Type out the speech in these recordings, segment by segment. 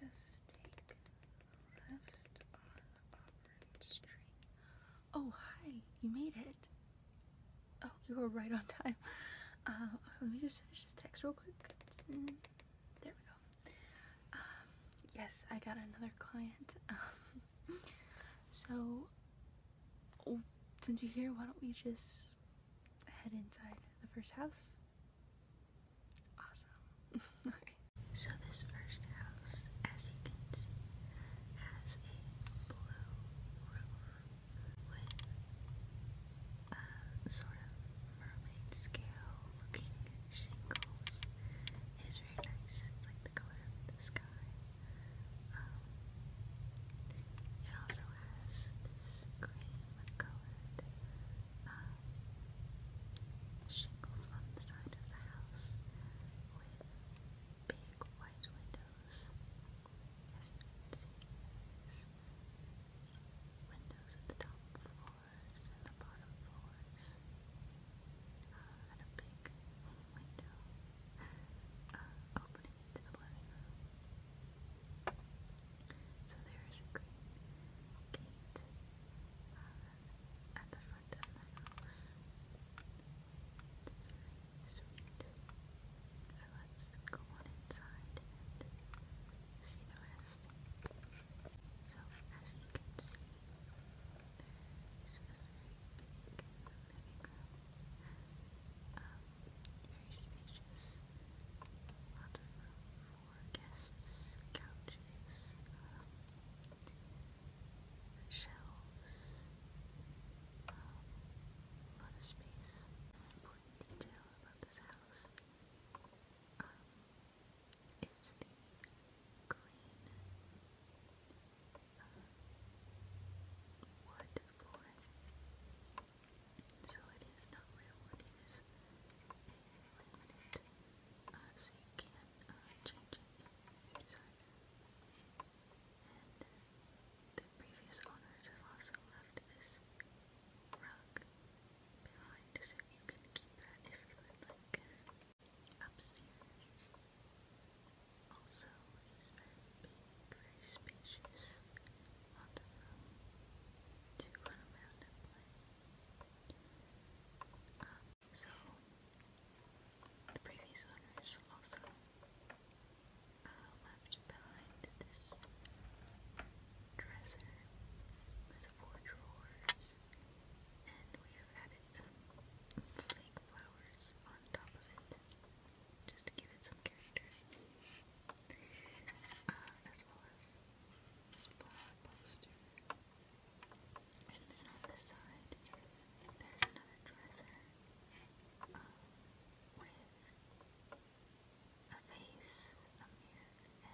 Just take left on Auburn Street. Oh, hi! You made it. Oh, you were right on time. Uh, let me just finish this text real quick. Mm, there we go. Um, yes, I got another client. so, oh, since you're here, why don't we just head inside the first house? Awesome. okay. So this first house, as you can see, has a blue roof with a uh, sort of fine scale looking shingles. It is very nice. like the color of the sky. Um, it also has this cream colored um, shingles on the side of the house with big white windows. As you can see, windows at the top floor floors and uh, uh, So there is a green gate uh, at the front of the house. sweet. So let's go inside and see the rest list. as you can see, there is very spacious. Um, um, lots of room guests, couches, shelves, um, of space. Important detail about this house. Um, is the green uh, wood flooring. So it is not real wood, it is laminate, uh, so you can uh, change it if And the previous owners have also left this rug behind so you can keep that if you would like. Upstairs also is very big, very spacious, lots of room to run around and so, the previous owners also left behind this dresser with four drawers, and we have added some flake flowers on top of it just to give it some character, uh, as well as this flower poster. And then on this side, there's another dresser uh, with a vase, a mirror,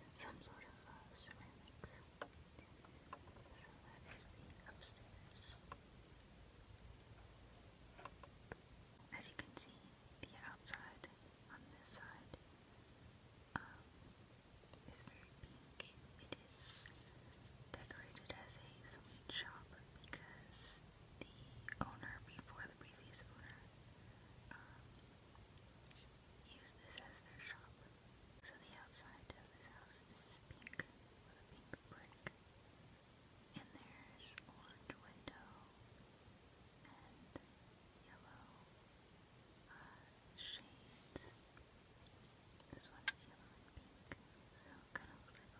and some sort of uh, ceramics. So that is the upstairs. As you can see, the outside on this side um, is very pink. It is decorated as a sweet shop because the owner, before the previous owner, um, use this as their shop. So the outside of his house is pink with a pink brick. And there's orange window and yellow uh, shades. This one is yellow and pink, so it kind of looks like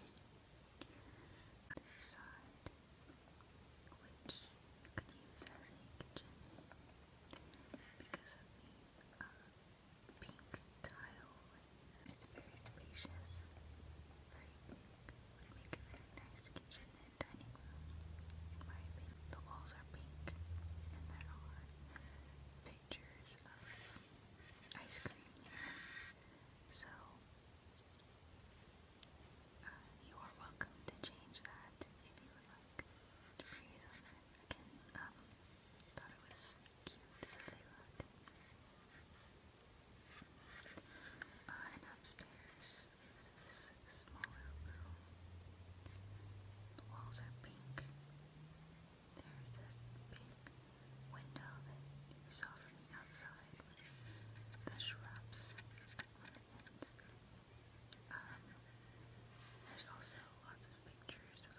lemonade. This side, which you can use as a kitchen because of the pink tile. It's very spacious, very would make a very nice kitchen and dining room, The walls are pink, and there are pictures of ice cream so uh, you are welcome to change that if you would like to previous on that. Um, thought it was cute, so they loved it. Uh, upstairs this smaller room. The walls are pink. There's this big window that you saw from the outside side um, there's also lots of pictures of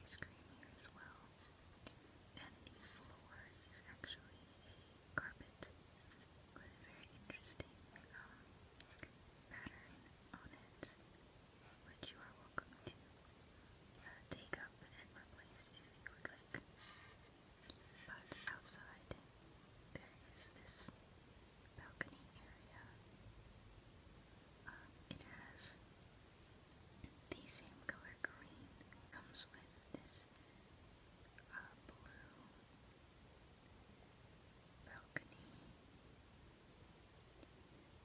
ice cream here as well. And the floor is actually a carpet with a very interesting um, pattern on it, which you are welcome to uh, take up and replace if you would like. But outside, there is this balcony area. Um, it has the same color green. Comes with this uh, blue balcony.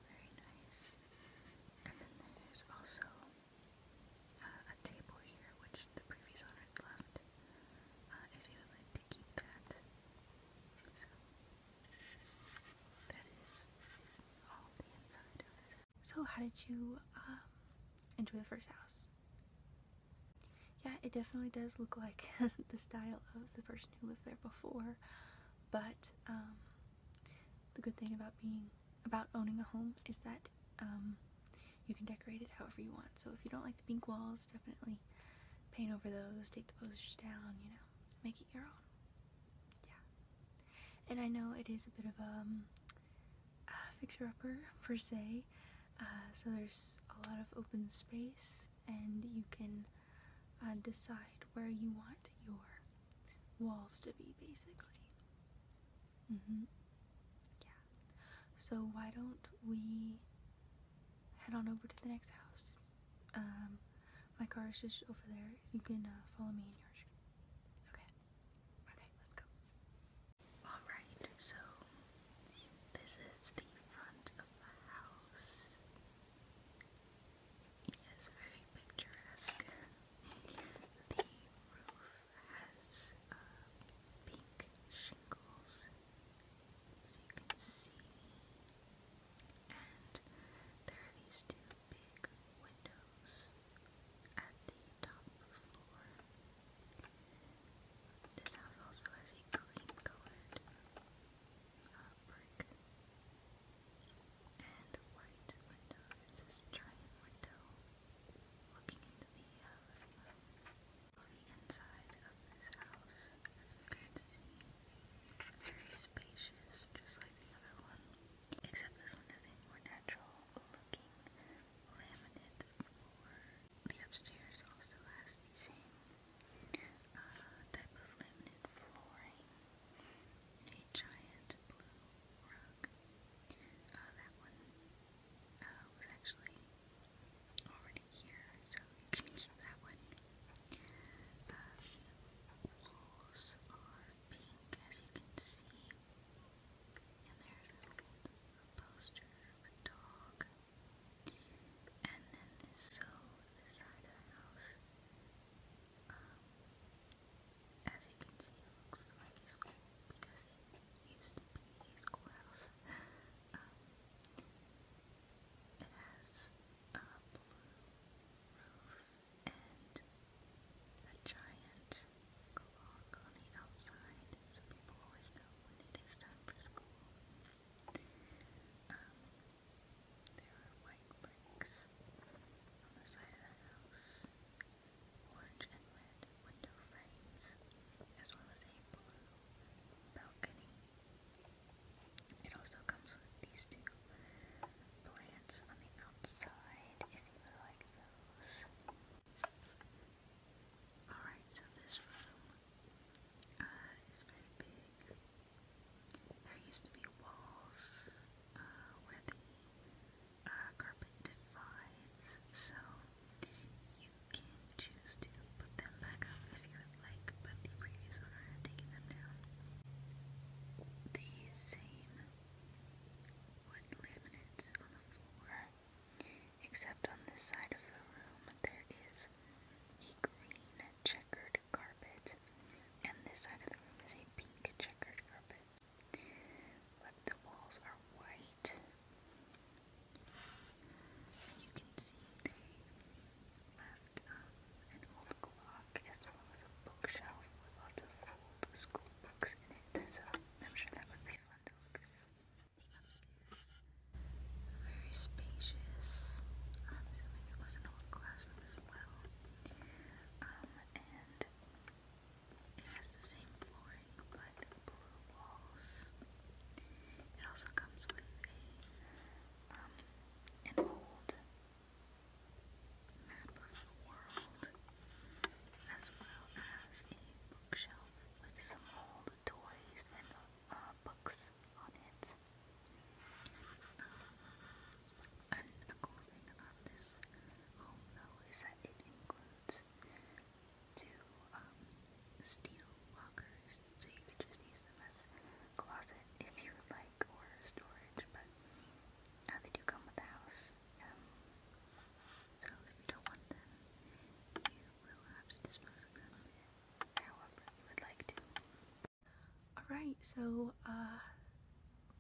Very nice. And then there's also uh, a table here, which the previous owners left, uh, if you would like to keep that. So, that is all the inside So, how did you um, enjoy the first house? Yeah, it definitely does look like the style of the person who lived there before, but um, the good thing about being about owning a home is that um, you can decorate it however you want. So if you don't like the pink walls, definitely paint over those, take the posters down, you know, make it your own. Yeah. And I know it is a bit of um, a fixer-upper per se. Uh, so there's a lot of open space, and you can uh, decide where you want your walls to be, basically. Mm-hmm. Yeah. So why don't we head on over to the next house? Um, my car is just over there. You can uh, follow me in yours. Okay. Okay, let's go. Alright, so this is the front of the house. Yes, very picturesque. The roof has uh, pink shingles, as you can see, and there are these two big windows at the top floor. This house also has a green colored uh, brick and white window. There's this giant window looking into the uh, of this house, as you can see, very spacious, just like the other one. Except this one has a more natural looking laminate floor. The upstairs also has the same uh, type of laminate flooring. A giant blue that one was actually already here, so that one. walls are pink, as you can see. And there's a poster of a dog. And then this, so this side of the house um, as you can see, looks like a school because it used to be a schoolhouse. Um, it has a blue roof and a giant clock on the outside, so people always know when it is time for school. Um, there are like bricks on the side of the house, orange and red window frames, as well as a blue balcony. It also comes with these two plants on the outside if you like those. Alright, so this room uh, is very big. There used to be walls uh, where the uh, carpet divides, so you can choose to put them back up if you would like, but the previous owner had taken them down. The same wood laminate on the floor, except on this side of the room there is a green checkered checkered carpet, and this side of the room is a pink checkered carpet. But the walls are white, and you can see they left um, an old clock as well as a bookshelf with lots of old school books in it. So I'm sure that would be fun to look through. The upstairs, very spacious. I'm um, assuming it was an old classroom as well. Um, and it has the same flooring but blue walls. It also comes with um, an old map of the world as well as a bookshelf with some old toys and uh, books on it. Um, and a cool thing about this home though is that it includes two um, steel lockers, so you could just use them as closet if you would like, or storage, but uh, they do come with the house. Um, so if you don't want them, you will have to dispose of them however you would like to. Alright, so, uh,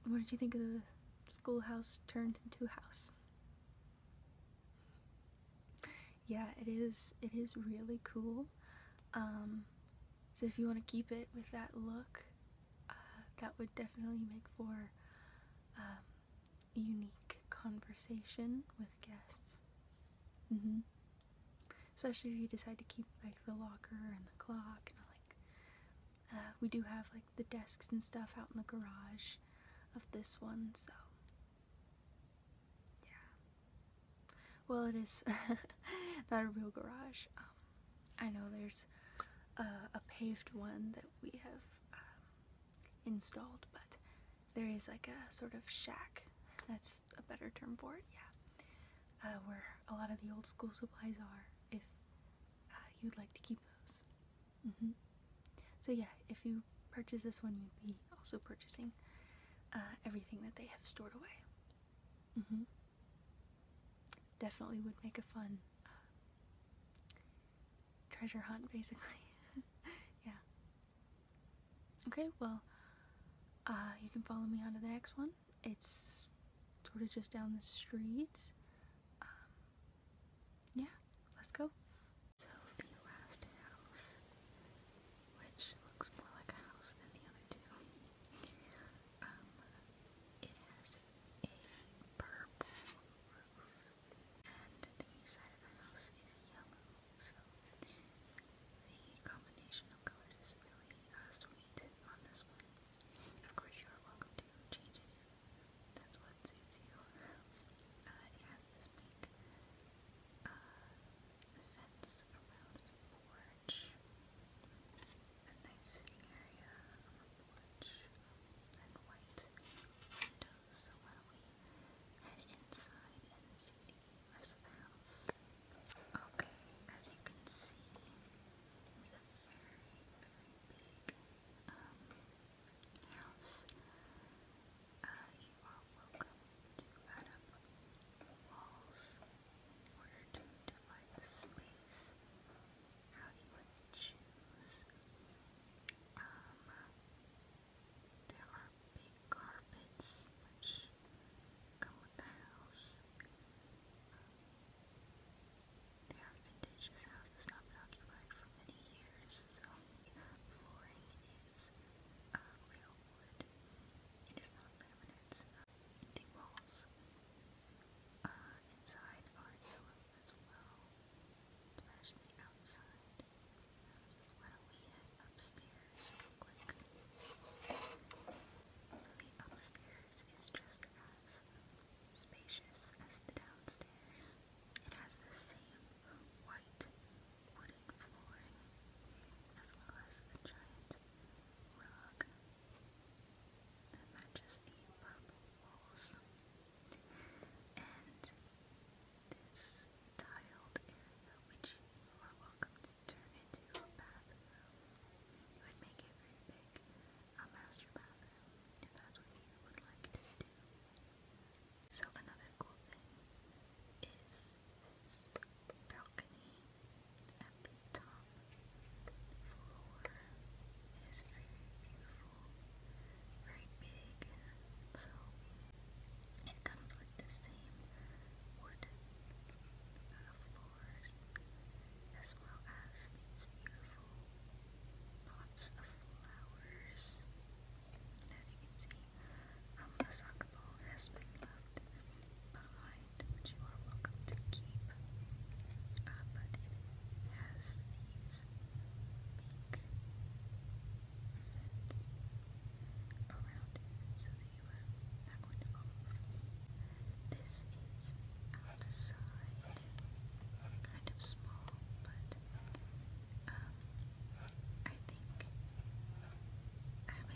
what did you think of the schoolhouse turned into house? Yeah, it is, it is really cool. Um, so if you want to keep it with that look, uh, that would definitely make for, um, unique conversation with guests. hmm especially if you decide to keep like the locker and the clock and like uh, we do have like the desks and stuff out in the garage of this one so yeah well it is not a real garage um, I know there's a paved one that we have um, installed but there is like a sort of shack that's a better term for it, yeah. Uh, where a lot of the old school supplies are, if uh, you'd like to keep those. Mm-hmm. So, yeah, if you purchase this one, you'd be also purchasing uh, everything that they have stored away. Mm-hmm. Definitely would make a fun treasure hunt, basically. yeah. Okay, well, you can follow me on to the next one. It's sort of just down the street. Um, yeah, let's go. So the last house, which looks more like a house than the other two, um, it has a purple roof, and the side of the house is yellow. So the combination of colors is really uh, sweet on this one. Of course, you are welcome to change it. That's what suits you. Uh, it has this pink uh, fence around the porch. A nice sitting area on the porch. And white windows. So why don't we head inside and see the rest Okay, as you can see, it's a very, very big house. Uh, you are welcome to add up walls in order to divide the space how you would choose. Um, there are are big carpets which go with the house. Um, their vintage house has not occupied for many years, so flooring is um, real wood. It is not laminates. The walls uh, inside are yellow as well, especially outside. Why do we head upstairs So the upstairs is just as spacious as the downstairs. It has the same white wooden flooring as well as a giant rug that matches the purple walls. And this tiled which you are welcome to turn into a bathroom. You would make it very big, a uh, master bathroom, if that's what you would like to do. So another cool thing is this balcony at the top floor. It is very beautiful, very big, so it comes with the same wood uh, floors as well as these beautiful pots of flowers. as you can see, um, soccer ball has been left behind, which you are welcome to keep. Uh, but it has these fence you This is outside, kind of small, but I think having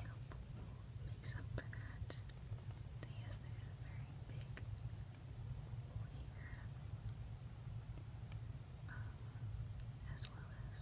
a pool makes up for that. yes, there's a very big pool here. as well as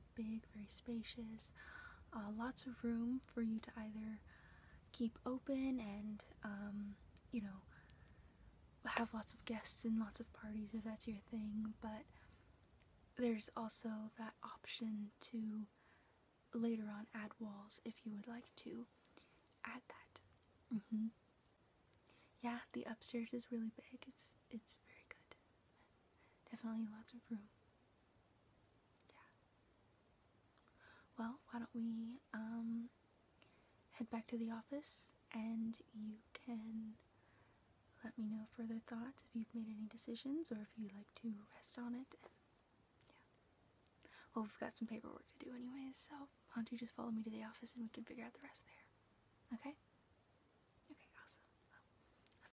big, very spacious, uh, lots of room for you to either keep open and, um, you know, have lots of guests and lots of parties if that's your thing, but there's also that option to later on add walls if you would like to add that. Mm-hmm. Yeah, the upstairs is really big. It's it's very good. Definitely lots of room. Yeah. Well, why don't we um head back to the office and you can let me know further thoughts if you've made any decisions or if you'd like to rest on it. And yeah. Well, we've got some paperwork to do anyways, so why don't you just follow me to the office and we can figure out the rest there. Okay? Okay, awesome.